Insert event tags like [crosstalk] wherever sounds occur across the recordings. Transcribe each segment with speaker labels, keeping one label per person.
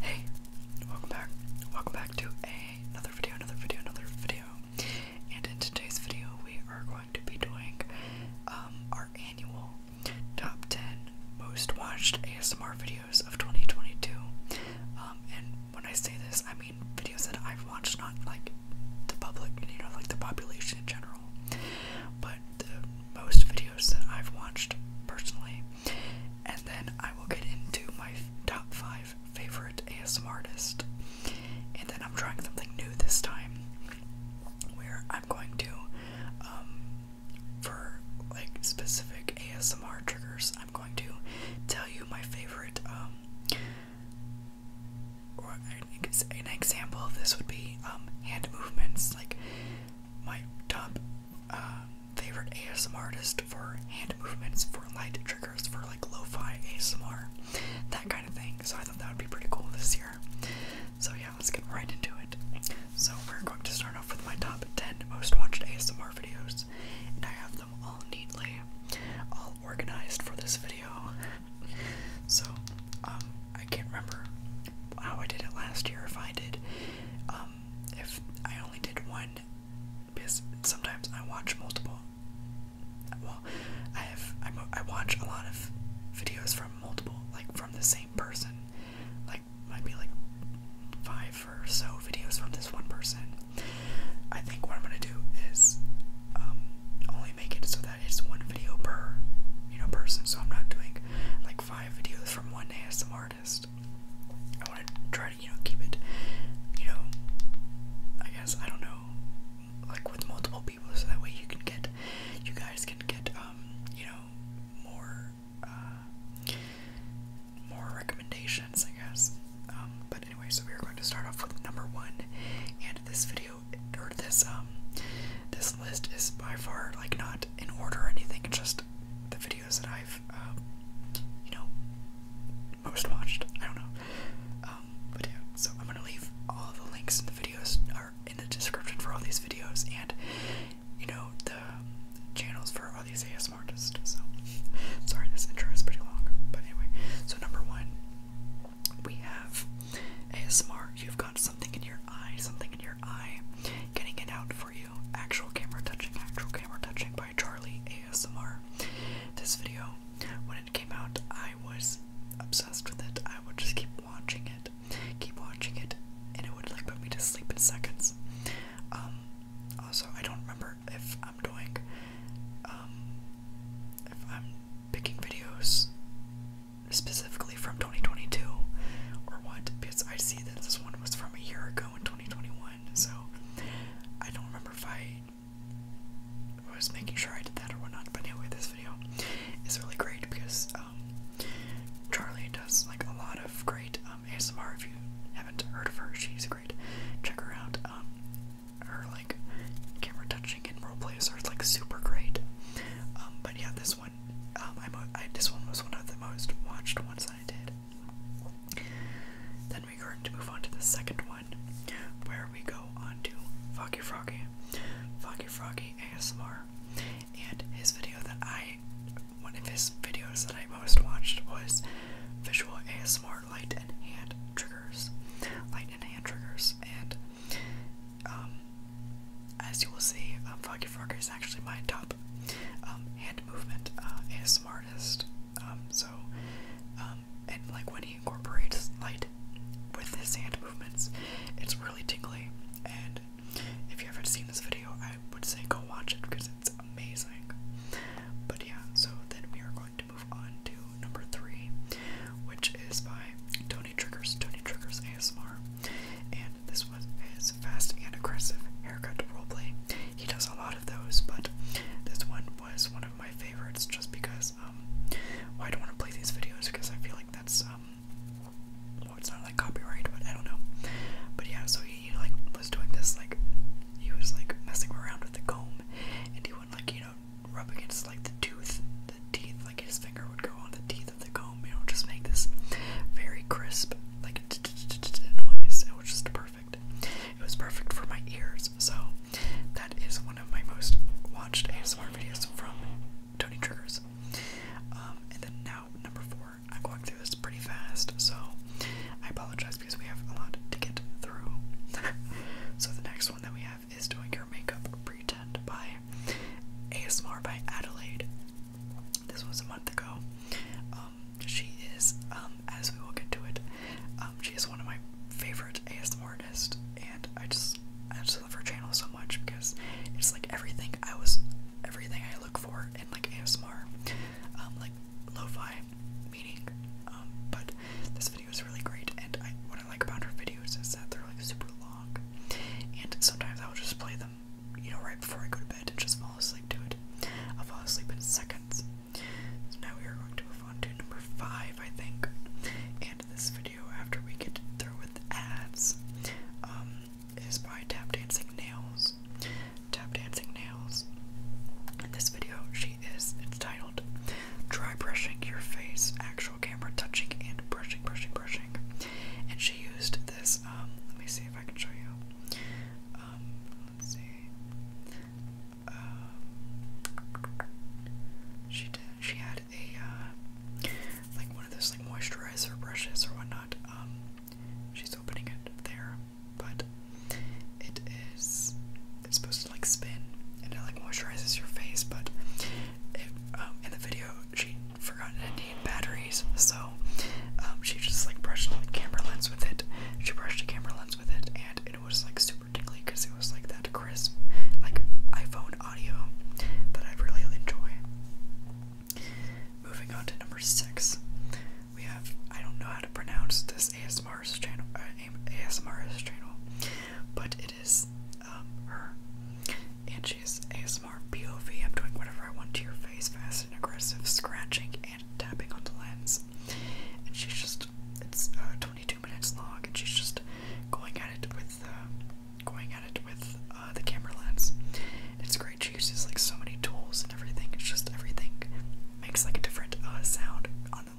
Speaker 1: Hey, welcome back. Welcome back to another video, another video, another video. And in today's video, we are going to be doing um, our annual top 10 most watched ASMR videos of 2022. Um, and when I say this, I mean videos that I've watched, not like the public, you know, like the population in general. But the most videos that I've watched personally, and then I will get into my top five favorite ASMR artist. And then I'm trying something new this time, where I'm going to, um, for like specific ASMR triggers, I'm going to tell you my favorite um, an example of this would be um, hand movements. Like my top um, favorite ASMR artist for hand movements, for light triggers, for like lo-fi ASMR, that kind of thing. So I thought that would be pretty cool this year. So yeah, let's get right into it. So we're going to start off with my top 10 most watched ASMR videos, and I have them all neatly, all organized for this video so um, I can't remember how I did it last year if I did um, if I only did one because sometimes I watch multiple well I have i I watch a lot of videos from multiple like from the same person like might be like five or so videos from this one person I think what I'm gonna do is um, only make it so that it's one video per you know person. So I'm not doing like five videos from one ASM artist. I want to try to you know keep it you know I guess I don't know like with multiple people so that way you can get you guys can get um, you know more uh, more recommendations I guess um, but anyway so we're going to start off with number one and this video or this um this list is by far like not in order or anything. just the videos that I've um, you know most watched. I don't know. Um, but yeah, so I'm gonna leave all the links in the videos are in the description for all these videos and you know the channels for all these ASMR artists. So [laughs] sorry this intro is pretty long. But anyway, so number one we have ASMR. You've got something in your eye, something in your eye, getting it out for you. Actual camera touching, actual camera touching by Charlie ASMR. This video, when it came out, I was obsessed with it. I would just keep watching it, keep watching it, and it would like put me to sleep in seconds. Um, also, I don't remember if I'm doing, um, if I'm picking videos specifically from 2022 or what, because I see that this one was from a year ago in 2021, so I don't remember if I was making sure I did that or whatnot. But anyway, this video is really great because um, Charlie does like a lot of great um, ASMR. If you haven't heard of her, she's great. Check her out or like camera touching and role roleplays are like super great. Um, but yeah, this one, um, this one was one of the most watched ones I did. Then we are going to move on to the second one, where we go on to Foggy Froggy, Foggy Froggy ASMR, and his video that I, one of his videos that I most watched was visual ASMR light and hand triggers, light and hand triggers, and um, as you will see, um, Foggy Frogger is actually my top um, hand movement uh, and smartest. Um, so, and like when he incorporates light with his hand movements, it's really tingly. And if you ever not seen this video, I would say go watch it because it's amazing. But yeah, so then we are going to move on to number three, which is by Tony Triggers, Tony Triggers ASMR. And this one is fast and aggressive haircut roleplay. He does a lot of those, but this one was one of my favorites just because um well, I don't want to play these videos because I feel like that's um, well it's not like copyright, but I don't know. But yeah, so he, like was doing this like he was like messing around with the comb and he went like you know. Rubbing know, against like the tooth, the teeth, like his finger would go on the teeth of the comb, you know, just make this very crisp, like noise. It was just perfect. It was perfect for my ears. So that is one of my most watched ASMR videos from Tony Triggers. Um, and then now number four. I'm going through this pretty fast, so I apologize because we have a lot to get through. [laughs] so the next one that we is Doing her Makeup Pretend by ASMR by Adelaide. This was a month ago. Um, she is, um, as we will get to it, um, she is one of my favorite ASMR artists, and I just, I just love her channel so much because it's like everything I was, everything I look for in like ASMR, like lo meaning. but this video is really great, and I, what I like about her videos is that they're like super long, and sometimes I'll just play them, you know, right before I go to bed and just fall asleep to it. I'll fall asleep in seconds. So now we are going to move on to number five, I think. And this video, after we get through with ads, um, is by Tap Dancing Nails. Tap Dancing Nails. this video, she is, it's titled dry brushing your face, actual camera touching and brushing, brushing, brushing. And she used this, um, let me see if I can show you. Um, let's see. Um, she did, she had a, uh, like one of those like moisturizer brushes or whatnot. she's opening it there, but it's supposed like spin and it like moisturizes your face, but um, in the video she forgot to need batteries, so um, she just like brushed like camera lens with it. She brushed a camera lens with it, and it was like super tickly because it was like that crisp, like iPhone audio that I really enjoy. Moving on to number six, we have I don't know how to pronounce this ASMR's channel, uh, ASMR's channel, but it it is um, her. And she's ASMR POV. I'm doing whatever I want to your face, fast and aggressive, scratching and tapping on the lens. And she's just, it's uh, 22 minutes long, and she's just going at it with, uh, going at it with uh, the camera lens. It's great. She uses like so many tools and everything. It's just everything makes like a different sound on the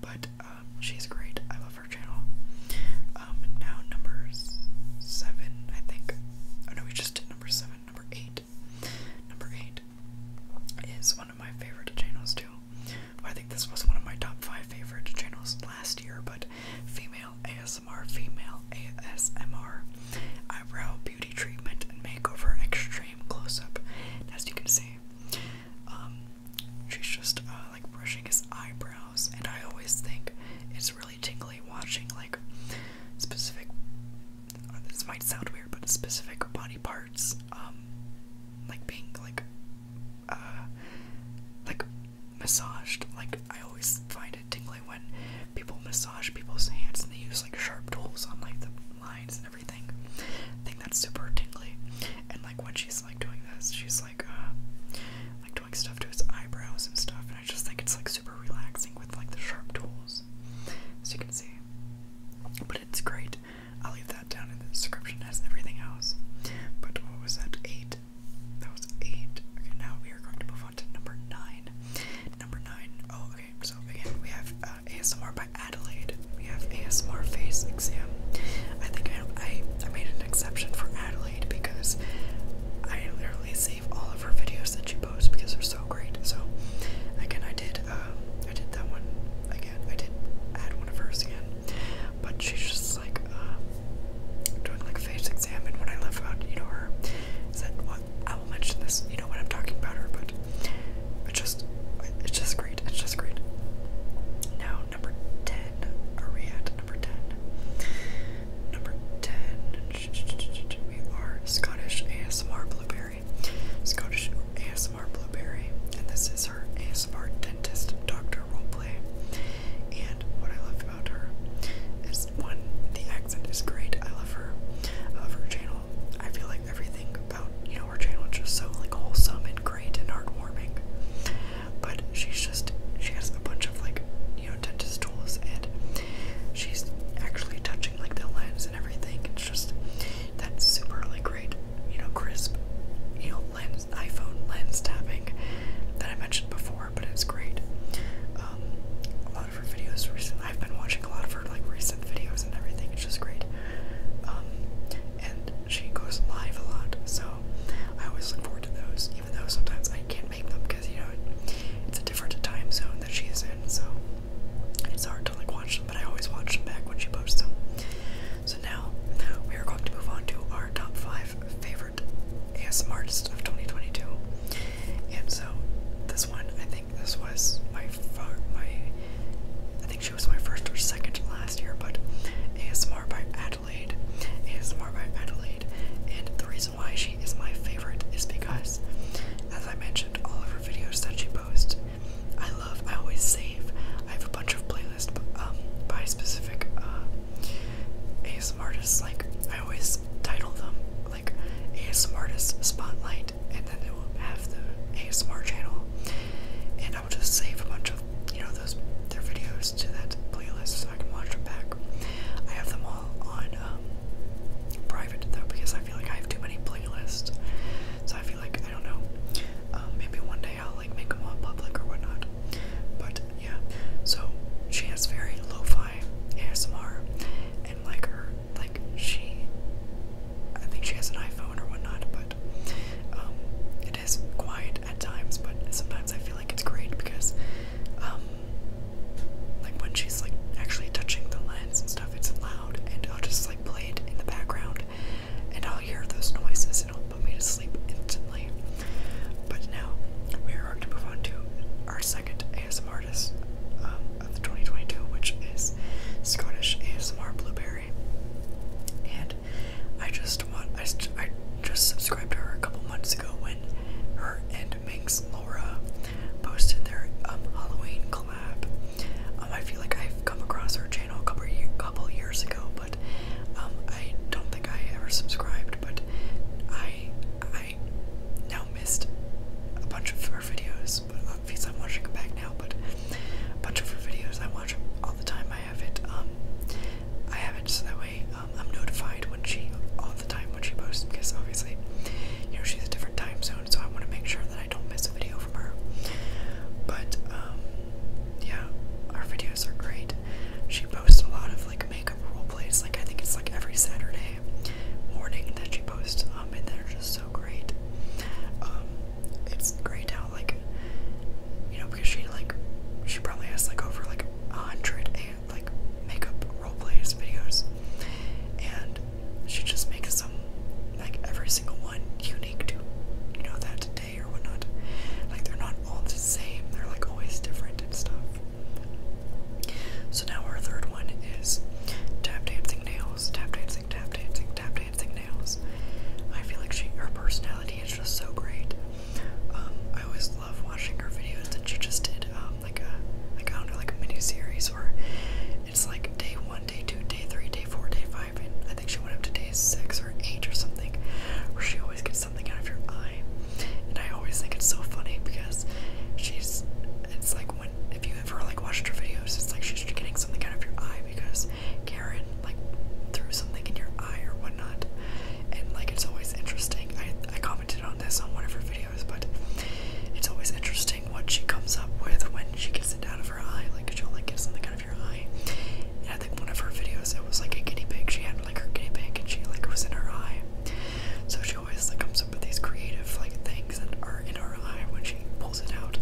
Speaker 1: But um, she's great. I love her channel. Um, now number seven, I think. Oh no, we just did number seven. Number eight. Number eight is one of my favorite channels too. I think this was one of my top five favorite channels last year, but female ASMR, female ASMR, eyebrow beauty treatment and makeover extreme close-up. As you can see, um, she's just uh, like brushing his eyebrows, and I always think it's really tingly watching like specific. Uh, this might sound weird, but specific body parts, um, like being like, uh, like massaged. Like I always find it tingly when people massage people's hands and they use like sharp tools on like the lines and everything. I think that's super tingly. And like when she's like doing this, she's like uh like doing stuff to his eyebrows and stuff, and I just think it's like super relaxing with like the sharp tools. So you can see. But it's great. I'll leave that down in the description as everything else. But what was that? Eight. That was eight. Okay, now we are going to move on to number nine. Number nine. Oh, okay. So again, we have uh, ASMR Adelaide. We have ASMR face exam. I think I, I I made an exception for Adelaide because I literally save all of her videos that she posts because they're so great. So again, I did um, I did that one again. I did add one of hers again, but she's just like uh, doing like a face exam. And what I left out, you know her is what I will mention this. You know what I'm talking about her, but it's just, it's just great. It's just great. Now number ten. Are we at number ten? Number ten. We are Scottish ASMR Blueberry. Scottish ASMR Blueberry, and this is her ASMR dentist doctor roleplay. And what I love about her is one, the accent is great. I love her. I her channel. I feel everything about you know her channel is just so like wholesome and great and heartwarming. But she's just she has a bunch of like you know dentist tools and she's actually touching like the lens and everything. It's just that super like great you know crisp you know lens iPhone lens tapping that I mentioned before, but it's great. Um, a lot of her videos recently. I've been watching a lot of her like recent videos and everything. It's just great. Um, and she goes live a lot, so I always look forward to those, even though sometimes I can't make them because you know it's a different time zone that she is in, so it's hard to like watch them, but I always watch them back when she posts them. So now we are going to move on to our top five favorite ASMR artists of 2022, and so this one I think this was my far my I think she was my first or second last year, but ASMR by Adelaide. ASMR by Adelaide. And the reason why she is my favorite is because, as I mentioned, all of her videos that she posts, I love. I always save. I have a bunch of playlists um, by specific uh, ASMR artists. Like, I always title them like ASMR Artist Spotlight, and then it will have the ASMR channel. I will just save a bunch of you know those their videos to that playlist so I can watch them back. I have them all on um, private though because I feel like I have too many playlists. So I feel like I don't know. Um, maybe one day I'll like make them all public or whatnot. But yeah, so she has very lo-fi ASMR, and like her, like she I think she has an iPhone or whatnot, but um, it is quiet at times. But sometimes I feel like it's great because, um, like when she's like actually touching the lens and stuff, it's loud, and I'll just like play it in the background, and I'll hear those noises, and it'll put me to sleep instantly. But now we are to move on to our second ASMR artist um, of 2022, which is Scottish ASMR Blueberry and I just want I just, subscribed to her a couple months ago when her and Minx Laura posted their um, Halloween collab. Um, I feel like I've come across her channel a couple years ago, but um, I don't think I ever subscribed. But I I now missed a bunch of her videos, but because I'm watching it back now, but a bunch of her videos I watch all the time. I have it, um, I have it so that way um, I'm notified when she, all the time when she posts, because obviously, you know, she's a different time zone, so I want to make sure that I don't miss a video from her. But, um, yeah, our videos are great. She posts a lot of like makeup role plays, like I think it's like every Saturday morning that she posts, um, and they're just so great. Um, it's great how like you know because she like she probably has like over like a hundred eh, like makeup role plays videos and she just makes them like every single one unique to you know that day or whatnot like they're not all the same they're like always different and stuff so now our third one is tap dancing nails tap dancing tap dancing tap dancing dancing nails. I feel like she, her personality is just so great. Um, I always love watching her videos and she just did, um, like a, like I like a mini series where it's like day one, day two, day three, day four, day five, and I think she went up to day six or eight or something, where she always gets something out of your eye. And I always think it's so funny because she's, it's like when if you ever like watched her videos, it's like she's getting something out of your eye because Karen like threw something in your eye or whatnot. And like it's always interesting. I I commented on this on one of her videos, but it's always interesting what she comes up with when she gets it out of her eye. Like she'll like get something out of your eye. And I think one of her videos it was like a guinea pig. She had like her guinea pig and she like was in her eye. So she always like comes up with these creative like things that are in her eye when she it out.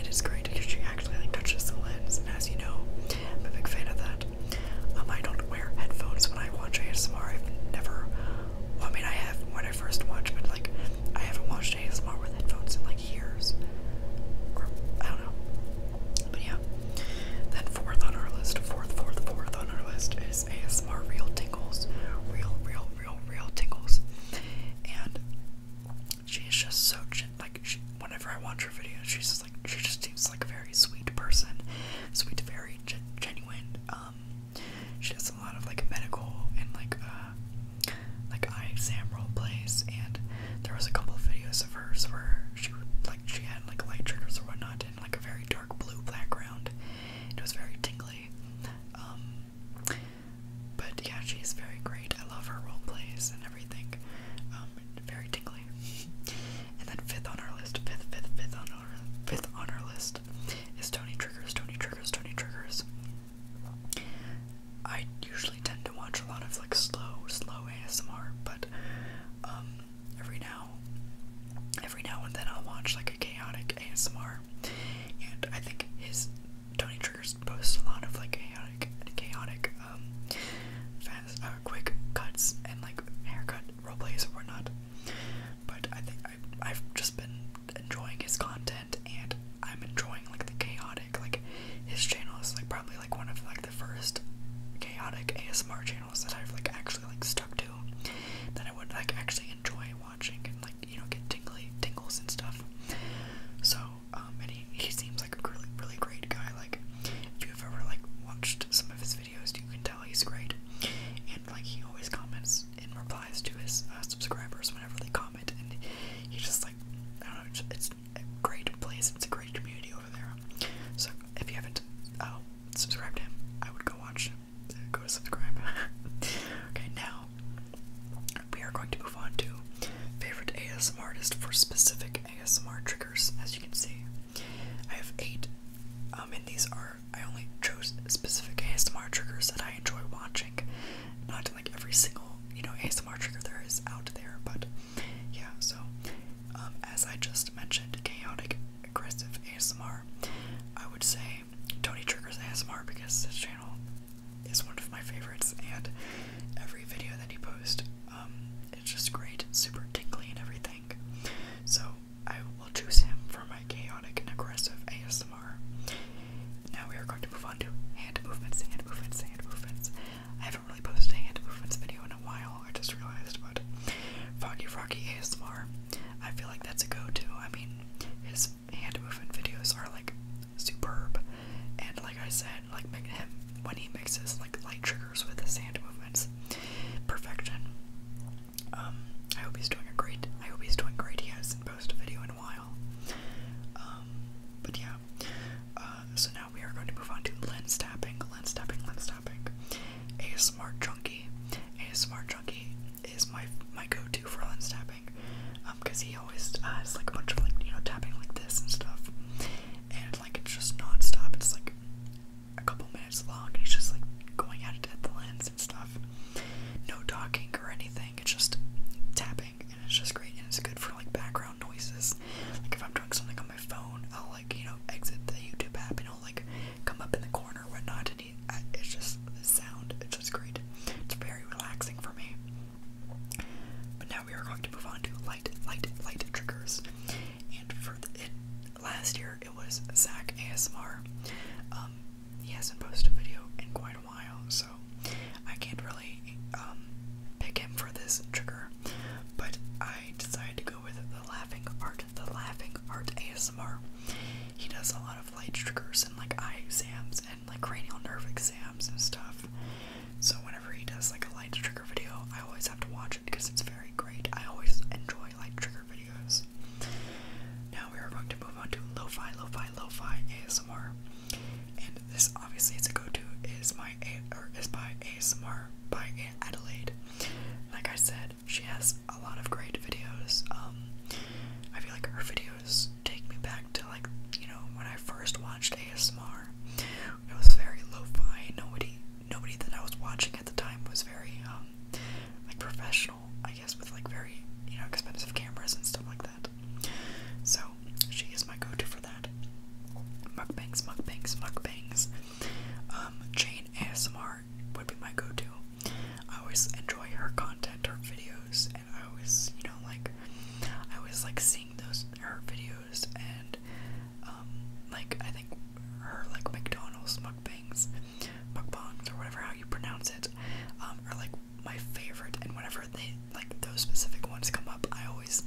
Speaker 1: It is great because she actually like touches the lens, and as you know, I'm a big fan of that. Um, I don't wear headphones when I watch ASMR. I've never. I mean, I have when I first watched, but like, I haven't watched ASMR with headphones in like years. Or I don't know. But yeah. Then fourth on our list, fourth, fourth, fourth on our list is ASMR real tingles, real, real, real, real tingles, and she is just so like whenever I watch her videos, she's just like she just seems like a very sweet person, sweet, very genuine. Um, she does a lot of like medical and like uh, like eye exam role plays, and there was a couple of videos of hers where she like she had like light triggers or whatnot in like a very dark blue background. It was very tingly. Um, but yeah, she's very great. I love her role plays and everything. Um, very tingly. [laughs] and then fifth on our list, fifth, fifth, fifth on our fifth on our list is Tony Triggers, Tony Triggers, Tony Triggers. I usually tend to watch a lot of like slow, slow ASMR, but um, every now every now and then I'll watch like a chaotic ASMR. And I think his Tony Triggers posts a lot of like chaotic, chaotic, um, fast, uh, quick cuts and like haircut roleplays or whatnot. But I think I, I've just been enjoying his content, and I'm enjoying like the chaotic. Like his channel is like probably like one of like the first chaotic ASMR channels that I've like actually like stuck to that I would like actually enjoy watching and like you know get tingly tingles and stuff. So um, he, he seems like a really really great guy. Like if you've ever like watched some of his videos, you can tell he's great. And like he always comments and replies to his uh, subscribers whenever they comment, and he just like I don't know, it's, a great place. It's a great community over there. So if you haven't uh, subscribed to him, I would go watch. Him. Uh, go subscribe. [laughs] okay, now we are going to move on to favorite ASMR artist for specific ASMR triggers. As you can see, I have eight, um, and these are I only chose specific ASMR triggers that I enjoy watching, not like every single you know ASMR trigger there is out there, but yeah. So, um, as I just mentioned, chaotic aggressive ASMR. I would say Tony triggers ASMR because his channel is one of my favorites, and every video that he posts, um, it's just great, super tingly and everything. So I will choose him for my chaotic and aggressive ASMR. Now we are going to move on to hand movements, hand movements, hand movements. I haven't really posted a hand movements video in a while, I just realized, but Foggy Rocky ASMR, I feel like that's a go-to. I mean, his hand movement videos are like superb. And like I said, like him when he mixes like light triggers with his hand movements, perfection. Um, I hope he's doing a great. I hope he's doing great. He hasn't posted a video in a while. Um, but yeah. Uh, so now we are going to move on to lens tapping, lens tapping, lens tapping. A smart junkie, a smart junkie is my my go-to for lens tapping tapping, um, because he always has like a bunch of like you know tapping like this and stuff, and like it's just nonstop. It's like a couple minutes long, and he's just like going at it at the lens and stuff. No talking or anything. It's just tapping, and it's just great, and it's good for like background noises. Like if I'm doing something on my phone, I'll like you know exit the YouTube app, and I'll like come up in the corner or whatnot, and he, it's just the sound. It's just great. It's very relaxing for me. But now we are going to move on to light, light, light triggers. And for last year it was Zach ASMR. Um, he hasn't posted a video in quite a while, so I can't really um, pick him for this trigger. But I decided to go with the laughing art, the laughing art ASMR. He does a lot of light triggers and like eye exams like cranial nerve exams and stuff. So whenever he does like a light trigger video, I always have to watch it because it's very great. I always enjoy light trigger videos. Now we are going to move on to lofi, lofi, lofi ASMR. And this obviously is a go-to is my a or is by ASMR by Adelaide. Like I said, she has a lot of great videos. Um, I feel like her videos take me back to like you know when I first watched ASMR. It was very lo-fi. Nobody, nobody that I was watching at the time was very um, like professional, I guess, with like very you know expensive cameras and stuff like that. So she is my go-to for that. Mukbangs, mukbangs, mukbangs. Um, Jane ASMR would be my go-to. I always enjoy her content, her videos. I always, you know, like I was like seeing those her videos and um, like I think her like McDonald's mukbangs, mukbangs or whatever how you pronounce it, um, are like my favorite and whenever they like those specific ones come up, I always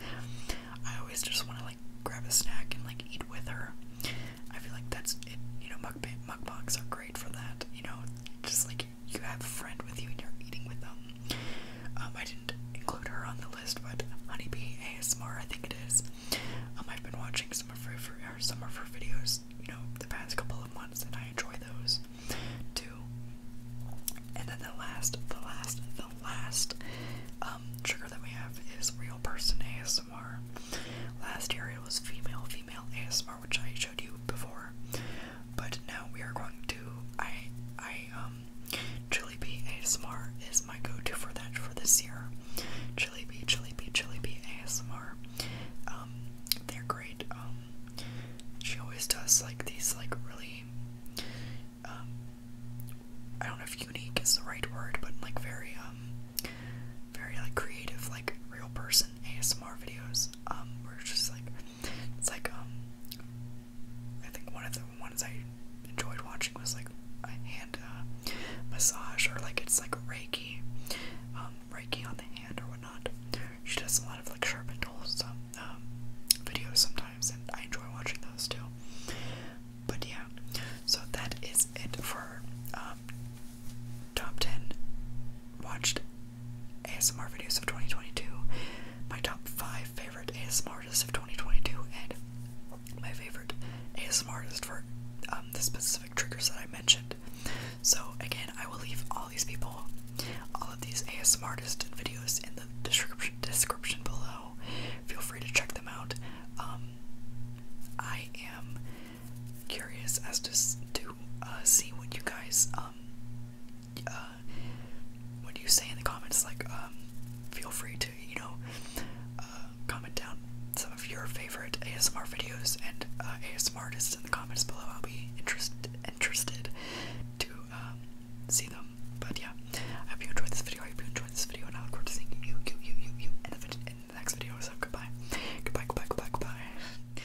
Speaker 1: I always just want to like grab a snack and like eat with her. I feel like that's it, you know, mukbang mukbangs are great for that, you know, just like you have a friend with you and you're eating with them. Um, I didn't include her on the list, but Honeybee ASMR, I think it is. Um, I've been watching some of her some of her videos, you know, the past couple of months, and I enjoy those too. And then the last, the last, the last um, trigger that we have is real person ASMR. Last area was female, female ASMR, which I showed you before. But now we are going to I I um Chilipi ASMR is my go-to for that for this year. Chilipi, Chilipi, Chilipi ASMR. Um, they're great. Um, she always does like these like really um I don't know if unique is the right word, but like very um very like creative, like real person ASMR videos. Um, where it's just like it's like um, I think one of the ones I enjoyed watching was like a hand uh, massage or like it's like Reiki, um, Reiki on the hand or whatnot. She does a lot of like sharp and um, videos sometimes, and I enjoy watching those too. But yeah, so that is it for um, top ten watched ASMR videos of 2022, my top 5 favorite ASMR artists of 2022, and my favorite ASMR artist for um, the specific triggers that I mentioned. So, again, I will leave all these people, all of these ASMR artists and videos in the description, description below. Feel free to check them out. Um, I am curious as to, to uh, see what you guys um, uh, what do you say in the comments? Like, um, feel free to, you know, uh, comment down some of your favorite ASMR videos and uh, ASMR artists in the comments below. I'll be interested interested to um, see them. But yeah, I hope you enjoyed this video. I hope you enjoyed this video, and I look forward to seeing you, you, you, you, you in the, in the next video. So goodbye, goodbye, goodbye, goodbye, goodbye.